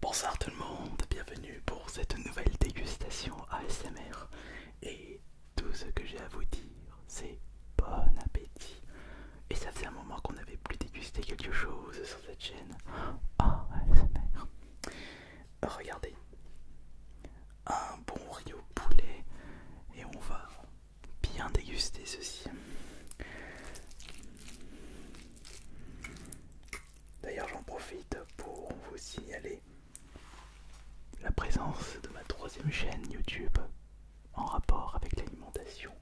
Bonsoir tout le monde, bienvenue pour cette nouvelle dégustation ASMR et tout ce que j'ai à vous dire c'est bon appétit et ça fait un moment qu'on n'avait plus dégusté quelque chose sur cette chaîne ASMR Regardez, un bon riz au poulet et on va bien déguster ceci D'ailleurs, j'en profite pour vous signaler la présence de ma troisième chaîne YouTube en rapport avec l'alimentation.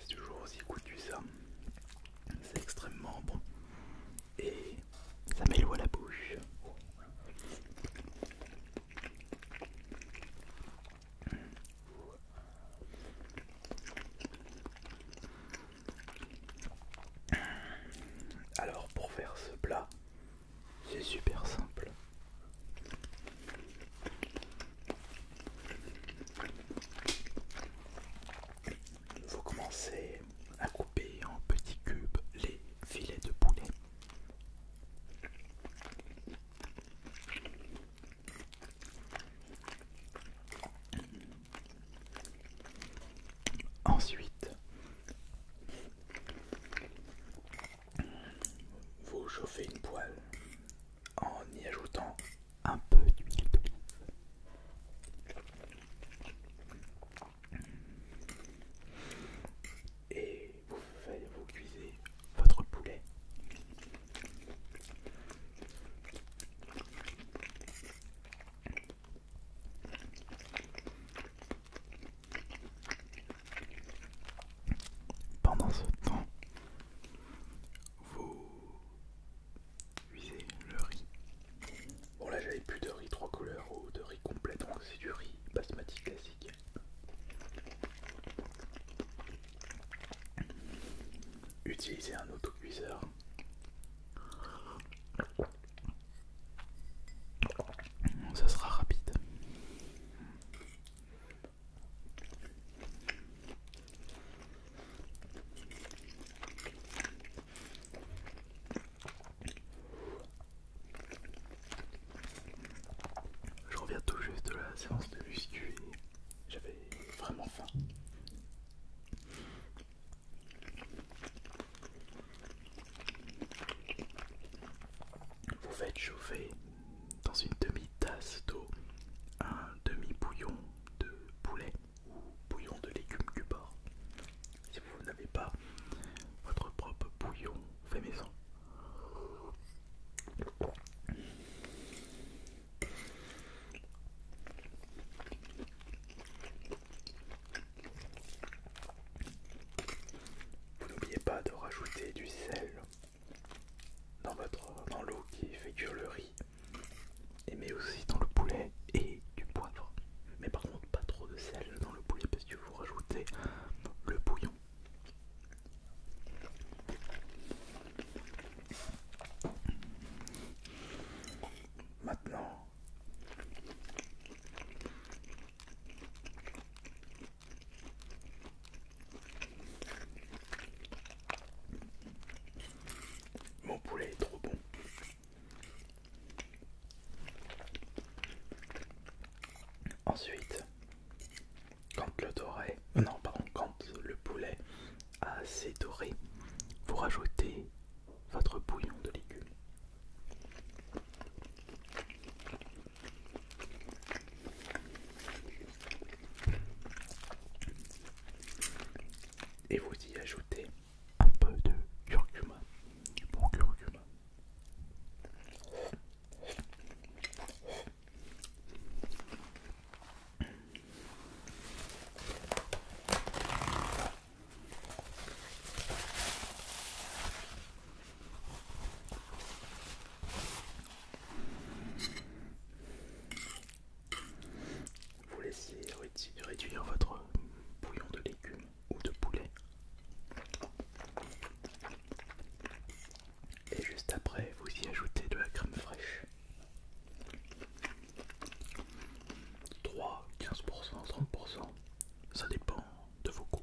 C'est toujours aussi que ça. C'est extrêmement bon. Et ça met à la bouche. Alors pour faire ce plat, c'est super simple. Vous commencez à couper en petits cubes les filets de poulet. Ensuite, vous chauffez une poêle en y ajoutant un peu d'huile d'olive. Et vous, faites, vous cuisez votre poulet. Pendant ce temps, vous cuisez le riz. Bon là j'avais plus de riz trois couleurs ou de riz complet donc c'est du riz basmati classique. Utiliser un autocuiseur. Ça sera rapide. Je reviens tout juste de la séance de muscu et j'avais vraiment faim. Vous faites chauffer dans une demi-tasse d'eau un demi-bouillon de poulet ou bouillon de légumes du Si vous n'avez pas votre propre bouillon fait maison. Vous n'oubliez pas de rajouter du sel dans votre dans l'eau qui fait cuire le riz et mais aussi dans le poulet et du poivre. Mais par contre pas trop de sel dans le poulet parce que vous rajoutez le bouillon. Maintenant, mon poulet est trop bon. Ensuite, quand le doré, euh, le poulet a assez doré, vous rajoutez votre bouillon de légumes. Et vous y ajoutez un peu de curcuma, du bon curcuma. Vous laissez réduire votre bouillon de légumes ou de poulet. Et juste après, vous y ajoutez de la crème fraîche. 3, 15%, 30%, ça dépend de vos goûts.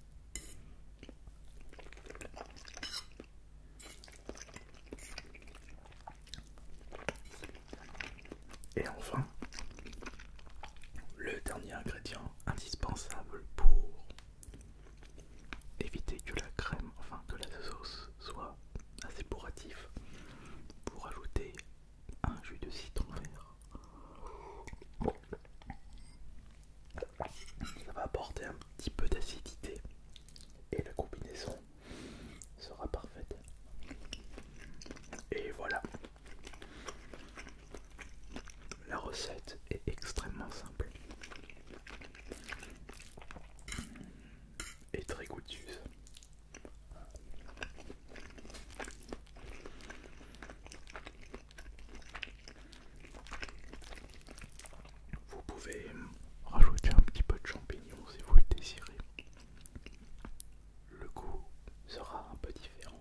Et enfin, le dernier ingrédient indispensable pour éviter que la crème, enfin que la sauce soit assez bourratif, pour ajouter un jus de citron vert. Ça va apporter un petit peu d'acidité et la combinaison sera parfaite. Et voilà. La recette est extrêmement simple et très goûteuse. Vous pouvez rajouter un petit peu de champignons si vous le désirez. Le goût sera un peu différent.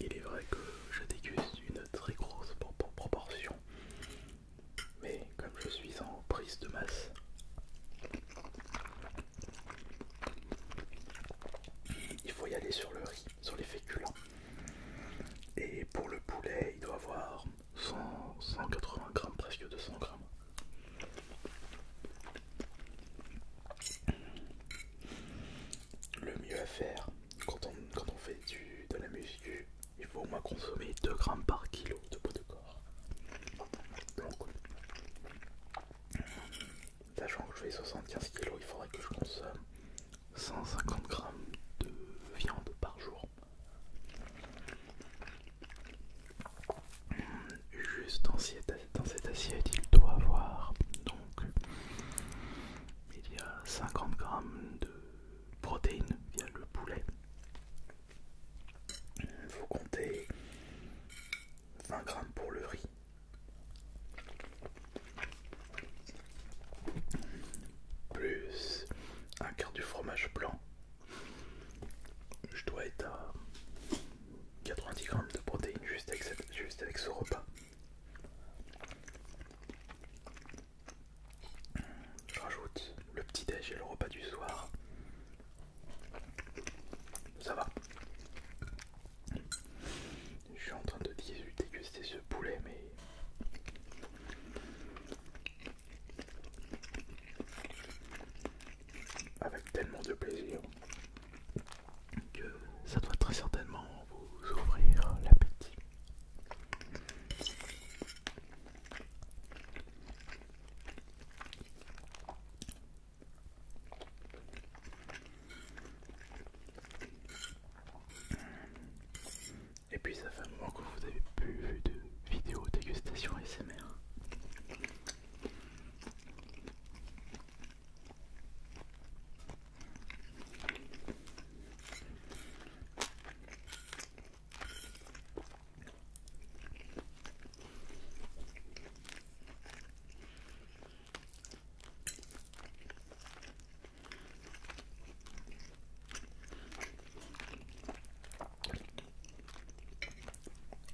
Il est vrai que je déguste une très grosse proportion, mais comme je suis en prise de masse, il faut y aller sur le riz, sur les féculents. Et pour le poulet, il doit avoir 180 grammes, presque 200 grammes. Le mieux à faire quand on, fait de la muscu, il faut au moins consommer 2 grammes par kilo de poids de corps. Sachant que je fais 75 kg, il faudrait que je consomme 150 grammes de viande par jour. Juste dans cette assiette, il doit avoir donc il y a 50 grammes de protéines via le poulet. Il faut compter 20 grammes pour le riz, plus un quart du fromage blanc. Je dois être à 90 grammes de protéines juste avec, ce repas. Je rajoute le petit déj et le repas du soir. Ça va. Je suis en train de déguster ce poulet, mais. Avec tellement de plaisir que ça doit très certainement vous ouvrir l'appétit. Et puis ça fait un moment que vous avez plus vu de vidéo dégustation ASMR.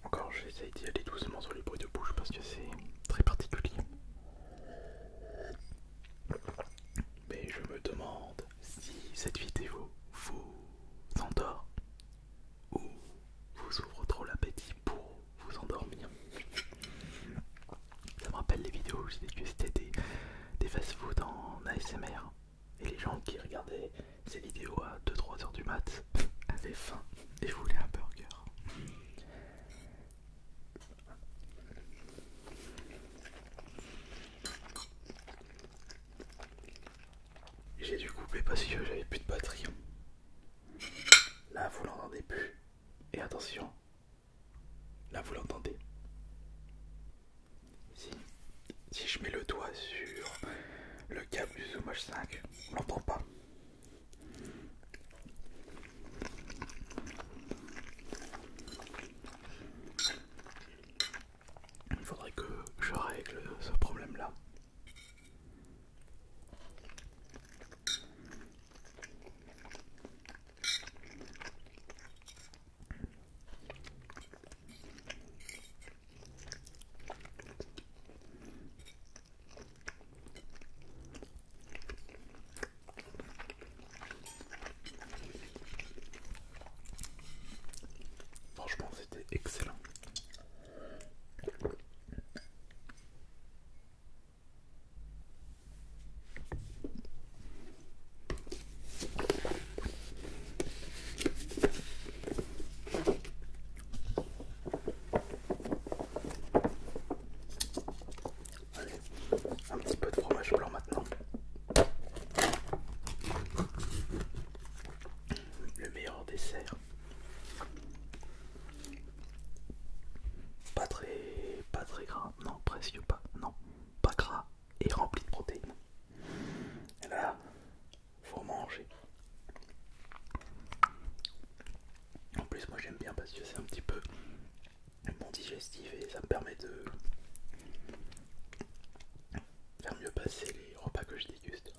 Encore, j'essaye d'y aller doucement sur les bruits de bouche parce que c'est très particulier. Mais je me demande si cette vidéo vous endort ou vous ouvre trop l'appétit pour vous endormir. Ça me rappelle les vidéos où j'ai dégusté c'était des fast-food en ASMR et les gens qui regardaient ces vidéos à 2-3 heures du mat avaient faim et voulaient un burger. J'ai dû couper parce que j'avais plus de batterie. Là, vous l'entendez plus. Et attention, là, vous l'entendez. Si, si je mets le doigt sur le câble du Zoom H5, on l'entend pas. Il faudrait que je règle ce problème là. Franchement, c'était excellent un petit peu de fromage blanc maintenant le meilleur dessert. Pas très, pas très gras, non, presque pas, non, pas gras et rempli de protéines. là, faut manger. En plus, moi j'aime bien parce que c'est un petit peu mon digestif et ça me permet de faire mieux passer les repas que je déguste.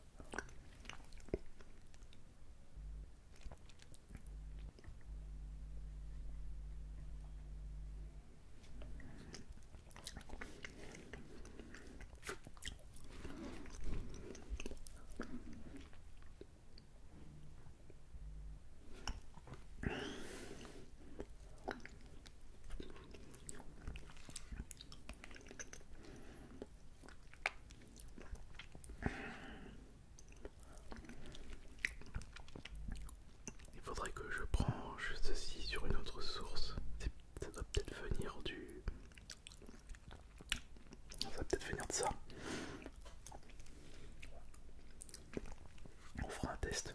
Il faudrait que je juste ceci sur une autre source. Ça doit peut-être venir du... Ça peut-être venir de ça. On fera un test.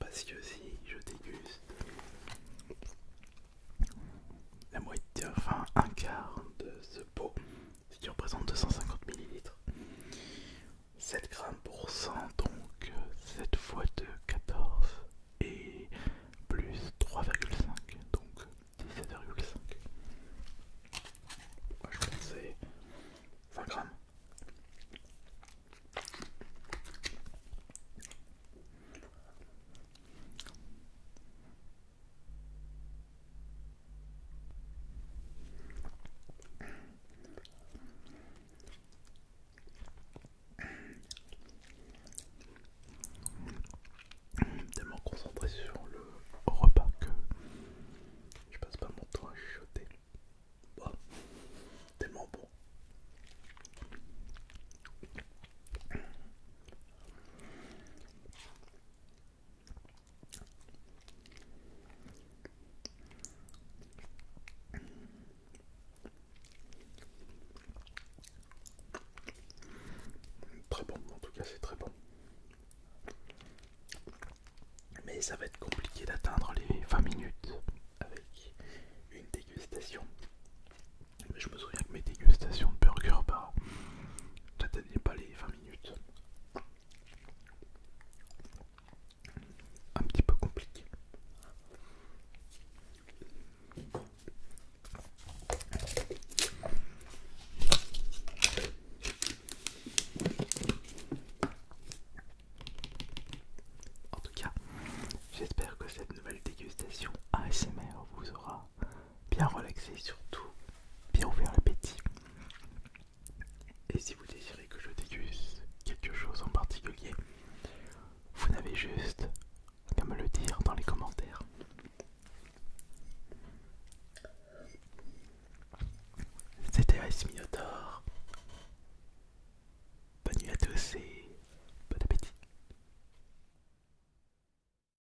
Parce que si je déguste la moitié, enfin un quart de ce pot, si tu représentes 250 ml. 7 grammes pour 100, donc 7 fois 2, 14, et plus 3,5, donc 17,5. Moi je c'est 20 grammes. Tellement concentré sur le repas que je passe pas mon temps à chuchoter. tellement bon. Très bon, en tout cas c'est très bon. Mais ça va être compliqué d'atteindre les 20 minutes avec une dégustation. Mais je me souviens que mes dégustations de burger par... Bah, pas les 20 un petit peu compliqué en tout cas j'espère que cette nouvelle dégustation ASMR vous aura bien relaxé surtout bien ouvert l'appétit. Et si vous désirez que je déguste quelque chose en particulier, vous n'avez juste qu'à me le dire dans les commentaires. C'était Ice Bonne nuit à tous et bon appétit.